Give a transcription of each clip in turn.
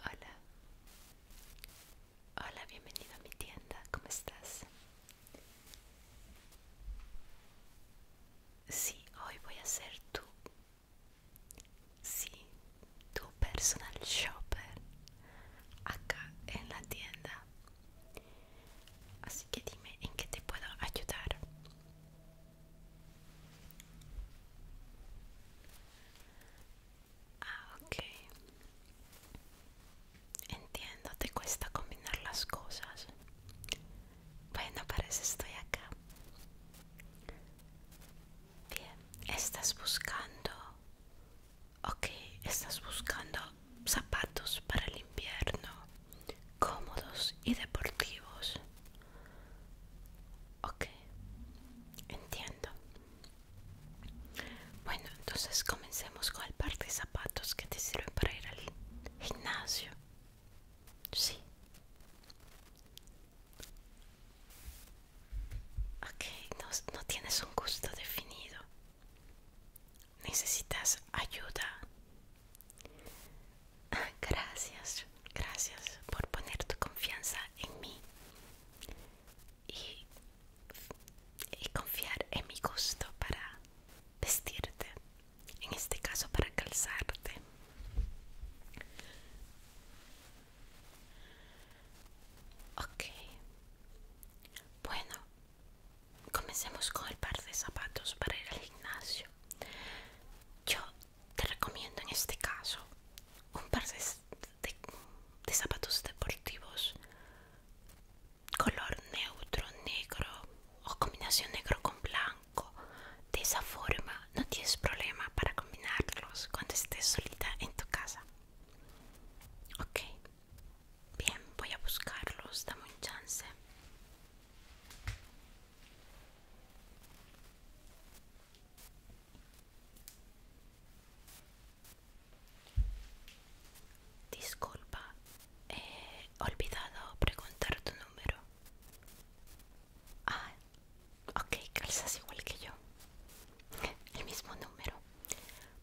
Hola. Hola, bienvenido a mi tienda. ¿Cómo estás? Sí, hoy voy a ser tu... Sí, tu personal shopper acá en la tienda. Así que dime en qué te puedo ayudar. Ah, ok. Entiendo, te cuesta combinar las cosas. Bueno, parece que estoy acá. Bien, estás buscando... Ok, estás buscando zapatos para el invierno cómodos y deportivos. Ok, entiendo. Bueno, entonces comencemos con el par de zapatos que te sirven para ir al gimnasio. Sí. Ok, no, no tienes un gusto definido. Necesitas ayuda. Gracias, gracias por poner tu confianza en mí y, confiar en mi gusto para vestirte, en este caso para calzarte. Ok, bueno, comencemos con el par de zapatos para ir al gimnasio. Yo te recomiendo en este caso un par de, zapatos deportivos color neutro, negro o combinación negro con blanco. De esa forma no tienes problema para combinarlos cuando estés solita en tu casa. Ok, bien, voy a buscarlos, dame un chance. Disculpa, he olvidado preguntar tu número. Ah, ok, calzas igual que yo. El mismo número.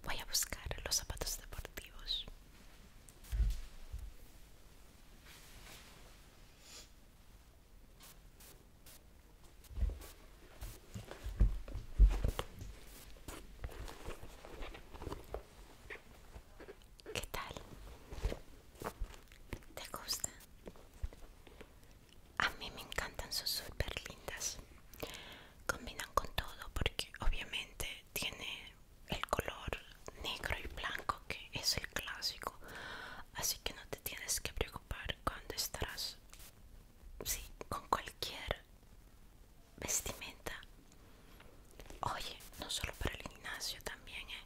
Voy a buscar los zapatos deportivos. ¿Qué tal? ¿Te gusta? A mí me encantan, son super lindas. Combinan con todo porque obviamente tiene el color negro y blanco que es el clásico así que no te tienes que preocupar cuando estarás sí, con cualquier vestimenta oye no solo para el gimnasio también ¿eh?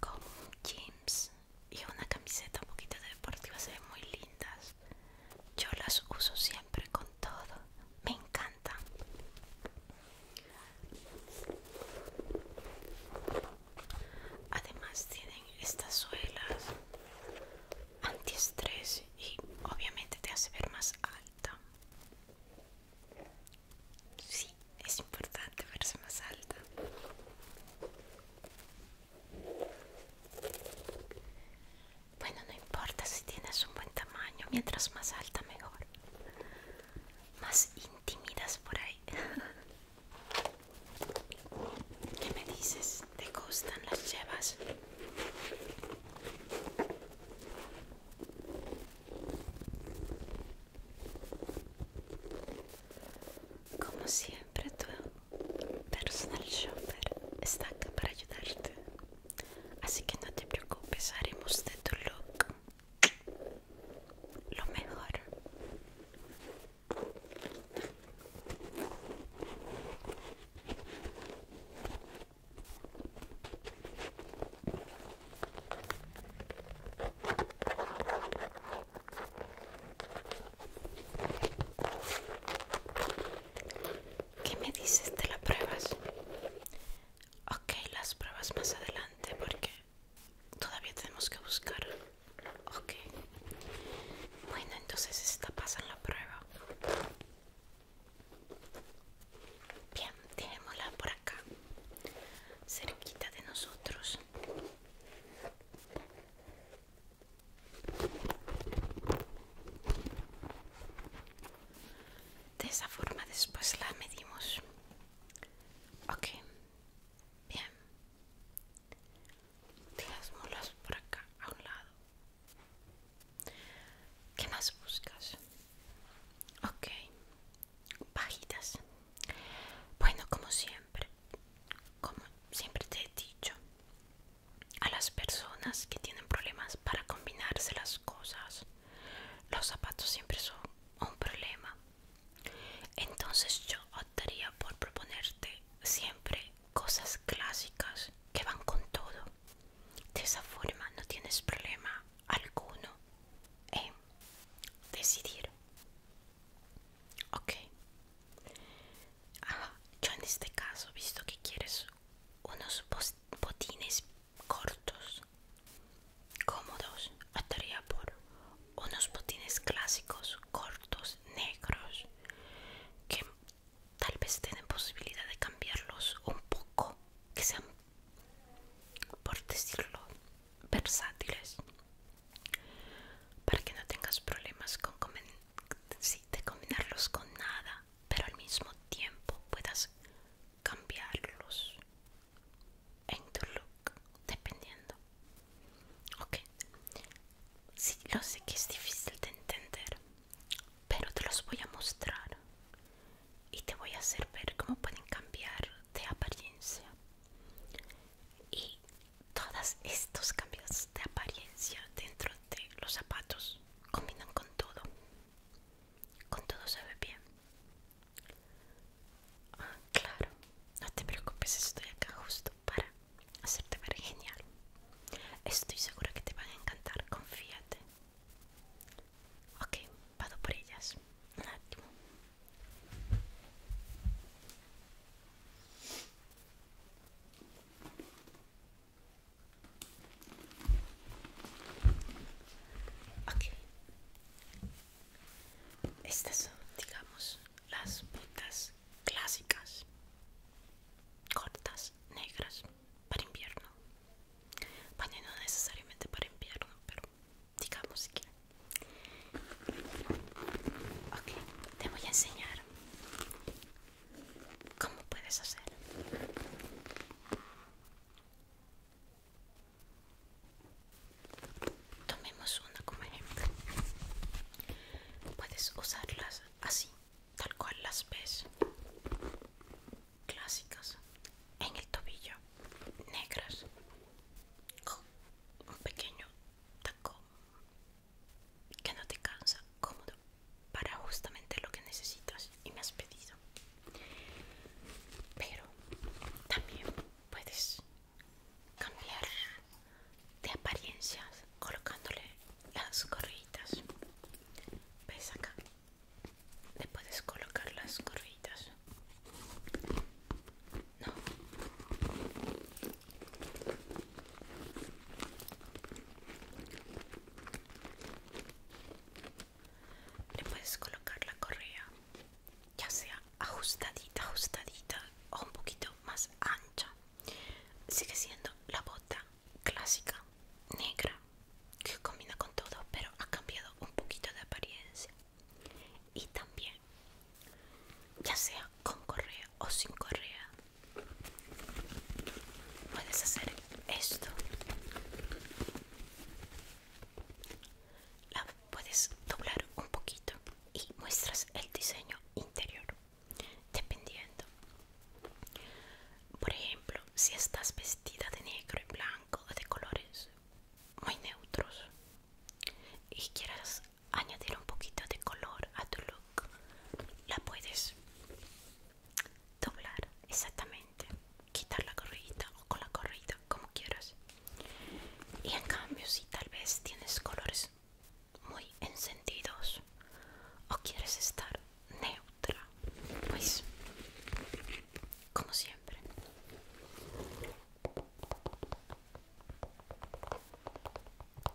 con jeans y una camiseta un poquito deportiva se ven muy lindas yo las uso siempre con todo me encanta Además tienen estas suelas antiestrés y obviamente te hace ver más alta. Sí, es importante verse más alta. Bueno, no importa si tienes un buen tamaño, mientras más alta mejor más intimidas por ahí ¿Qué me dices? ¿Te gustan las llevas? Como siempre tu personal shopper está acá para ayudarte Así que no te preocupes, haremos de tu look lo mejor. ¿Qué me dices de las pruebas? Ok, las pruebas más adelante porque todavía tenemos que buscar. Ok. Bueno, entonces esta pasa en la prueba. Bien, dejémosla por acá, cerquita de nosotros de esa forma después la medimos ok bien las molas por acá a un lado ¿qué más buscas? ok bajitas bueno como siempre como siempre te he dicho a las personas que tienen problemas para combinarse las cosas. Los zapatos siempre son un problema. Entonces yo optaría por proponerte siempre cosas clásicas que van con todo. De esa forma no tienes problema alguno en decidir. Ok. yo en este caso, visto que quieres unos botines cortos, cómodos, estaría por unos botines clásicos, cortos, negros, que tal vez tengan posibilidad de cambiarlos un poco, que sean, por decirlo, versátiles, para que no tengas problemas con combinarlos con nada pero al mismo tiempo puedas cambiarlos en tu look, dependiendo. Ok, lo sé que es difícil de entender, pero te los voy a mostrar y te voy a hacer ver cómo pueden cambiar de apariencia. Y todos estos cambios de apariencia dentro de los zapatos combinan con todo. Con todo se ve bien. Ah, claro. No te preocupes, estoy acá justo para hacerte ver genial. Estoy segura que te van a encantar, confíate. Ok, vado por ellas. Un ratito. Ok. Estas son, digamos, las botas clásicas, cortas, negras, para invierno. Bueno, no necesariamente para invierno, pero digamos que... Ok, te voy a enseñar ¿Cómo puedes hacer? Tomemos una como ejemplo. Puedes usarlas así, tal cual las ves. Clásicas. En el tobillo. Negras. Con un pequeño taco que no te cansa, cómodo para justamente lo que necesitas y me has pedido. Pero también puedes cambiar de apariencias colocándole las gorritas ¿Ves acá? Le puedes colocar las gorritas No. Le puedes colocar la correa, ya sea ajustadita, ajustadita o un poquito más ancha. Sigue siendo la bota clásica negra que combina con todo, pero ha cambiado un poquito de apariencia. Y también, ya sea con correa o sin correa, Puedes hacer esto. La puedes doblar un poquito y muestras el diseño interior, dependiendo. Por ejemplo, si estás vestida de negro y blanco o de colores muy neutros y quieras añadir un poquito de color a tu look la puedes doblar exactamente quitar la corrida o con la corrida como quieras y en cambio si tal vez tienes colores muy encendidos o quieres estar neutra pues como siempre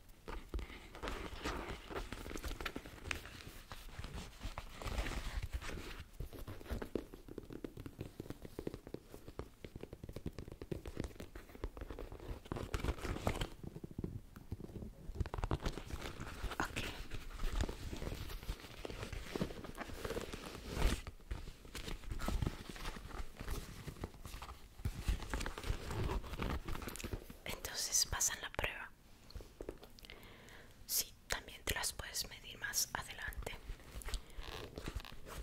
Okay. Entonces pasan la prueba. Sí, también te las puedes medir más adelante.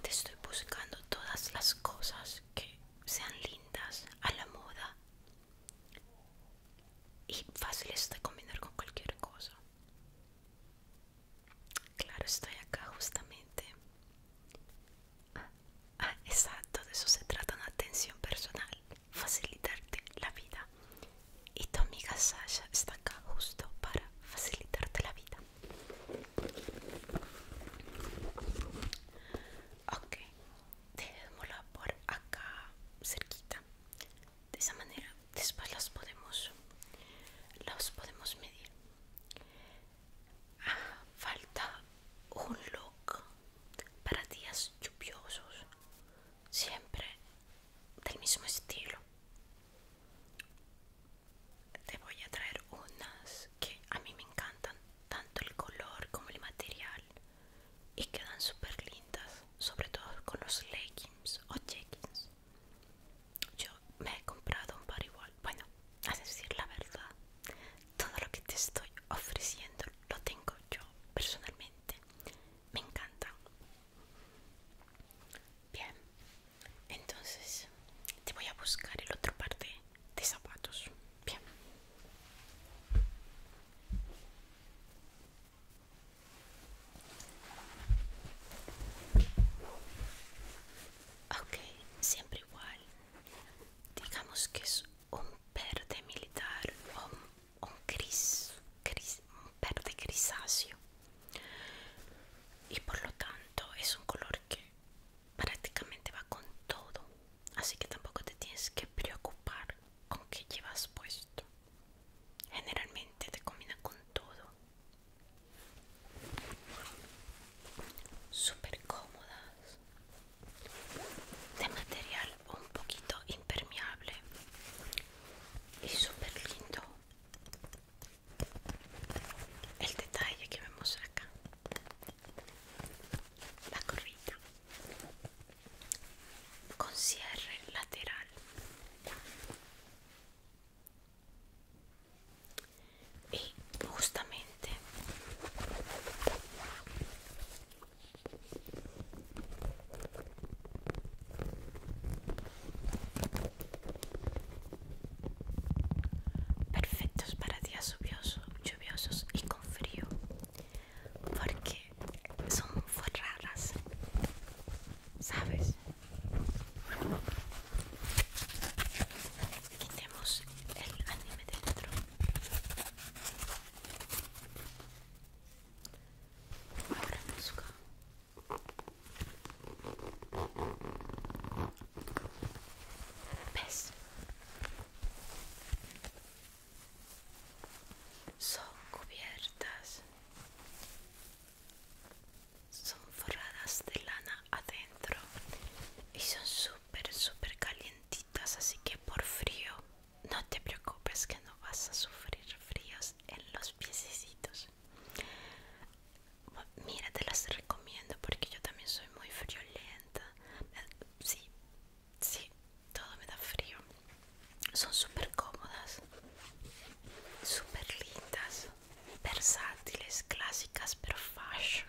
Te estoy buscando todas las cosas que sean lindas, a la moda y fáciles de combinar con cualquier cosa. Claro, estoy acá justamente Ah, exacto, de eso se trata una atención personal, facilitarte la vida. Y tu amiga Sasha está acá justo para facilitarte la vida. Ok, dejémosla por acá cerquita. De esa manera después las podemos, las podemos medir. Ah, falta un look para días lluviosos, siempre del mismo estilo. Te voy a traer unas que a mí me encantan, tanto el color como el material, y quedan súper lindas, sobre todo con los leggings o jeggings. Yo me he comprado un par igual, bueno, a decir la verdad, todo lo que te estoy ofreciendo lo tengo yo personalmente. Me encanta Bien, entonces te voy a buscar el otro par de, zapatos. Bien. Ok, siempre igual. Digamos que es un verde militar o un, gris, gris, un verde grisáceo y por lo tanto es un color que prácticamente va con todo así que tampoco te tienes que preocupar con qué llevas puesto generalmente te combina con todo súper cómodas de material un poquito impermeable y super lindo el detalle que vemos acá la corrida con cierre lateral y justamente perfectos para días lluviosos, lluviosos y con frío porque son raras sabes quitemos el anime dentro ahora busco ves son cubiertas son forradas de lana adentro y son súper pero super calientitas, así que por frío no te preocupes que no vas a sufrir fríos en los piecitos Mira, te las recomiendo porque yo también soy muy friolenta. Eh, sí, sí, todo me da frío. Son súper cómodas, súper lindas versátiles, clásicas pero fashion.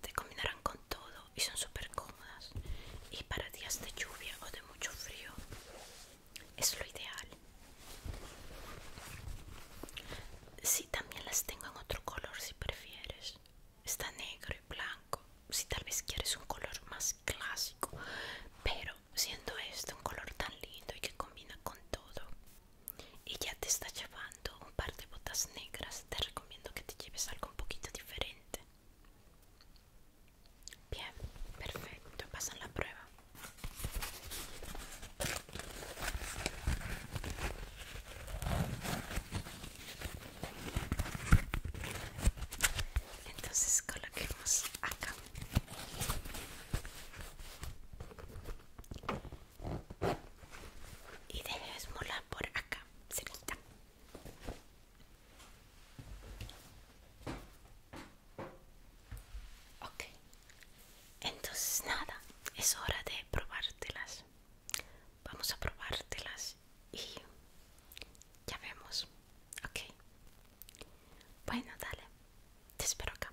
Te combinarán con todo y son súper cómodas. Y para días de lluvia o de mucho frío es lo ideal. si también las tengo en otro color si prefieres. Está negro y blanco. Si tal vez quieres un color más clásico, pero siendo este un color tan lindo y que combina con todo, y ya te está llevando un par de botas negras te recomiendo que te lleves algo un poquito diferente bien perfecto pasan la prueba entonces coloquemos acá y molar por acá, cerquita. Ok, entonces nada, es hora de probártelas. Vamos a probártelas y ya vemos. Ok, bueno, dale, te espero acá.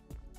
Debe detener,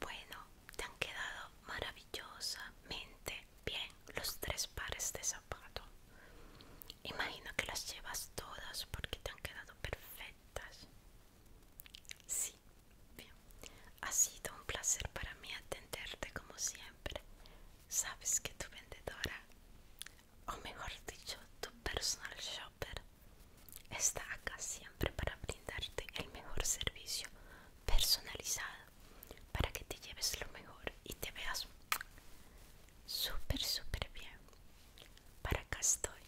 Bueno, te han quedado maravillosamente bien los tres pares de zapato. Imagino que las llevas todas porque te han quedado perfectas. Sí, bien. Ha sido un placer para mí atenderte como siempre. Sabes que tu vendedora, o mejor dicho, tu personal shopper, está acá siempre para brindarte el mejor servicio personalizado para que te lleves lo mejor y te veas super super bien para acá estoy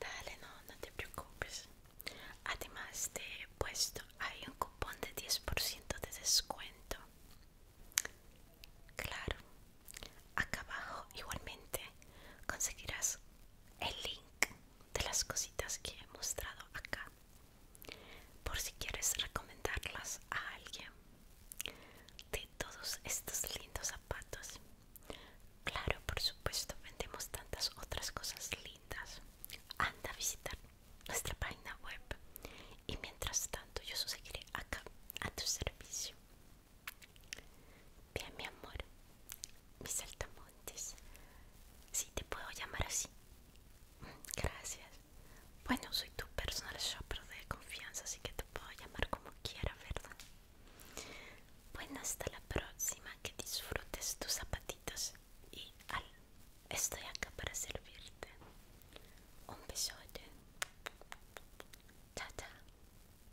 dale no no te preocupes además he puesto hay un cupón de 10% de descuento claro acá abajo igualmente conseguirás el link de las cositas que he mostrado acá por si quieres recomendarlas a alguien de todos estos lindos zapatos claro por supuesto vendemos tantas otras cosas lindas anda a visitar nuestra página web y mientras tanto yo seguiré acá a tu servicio Bien, mi amor, mis saltamontes. si te puedo llamar así. Gracias. Bueno, soy tu personal shopper de confianza, así que te puedo llamar como quiera, ¿verdad? Bueno, hasta la próxima. Que disfrutes tus zapatitos. Y al, estoy acá para servirte. Un besote. Chao, chao.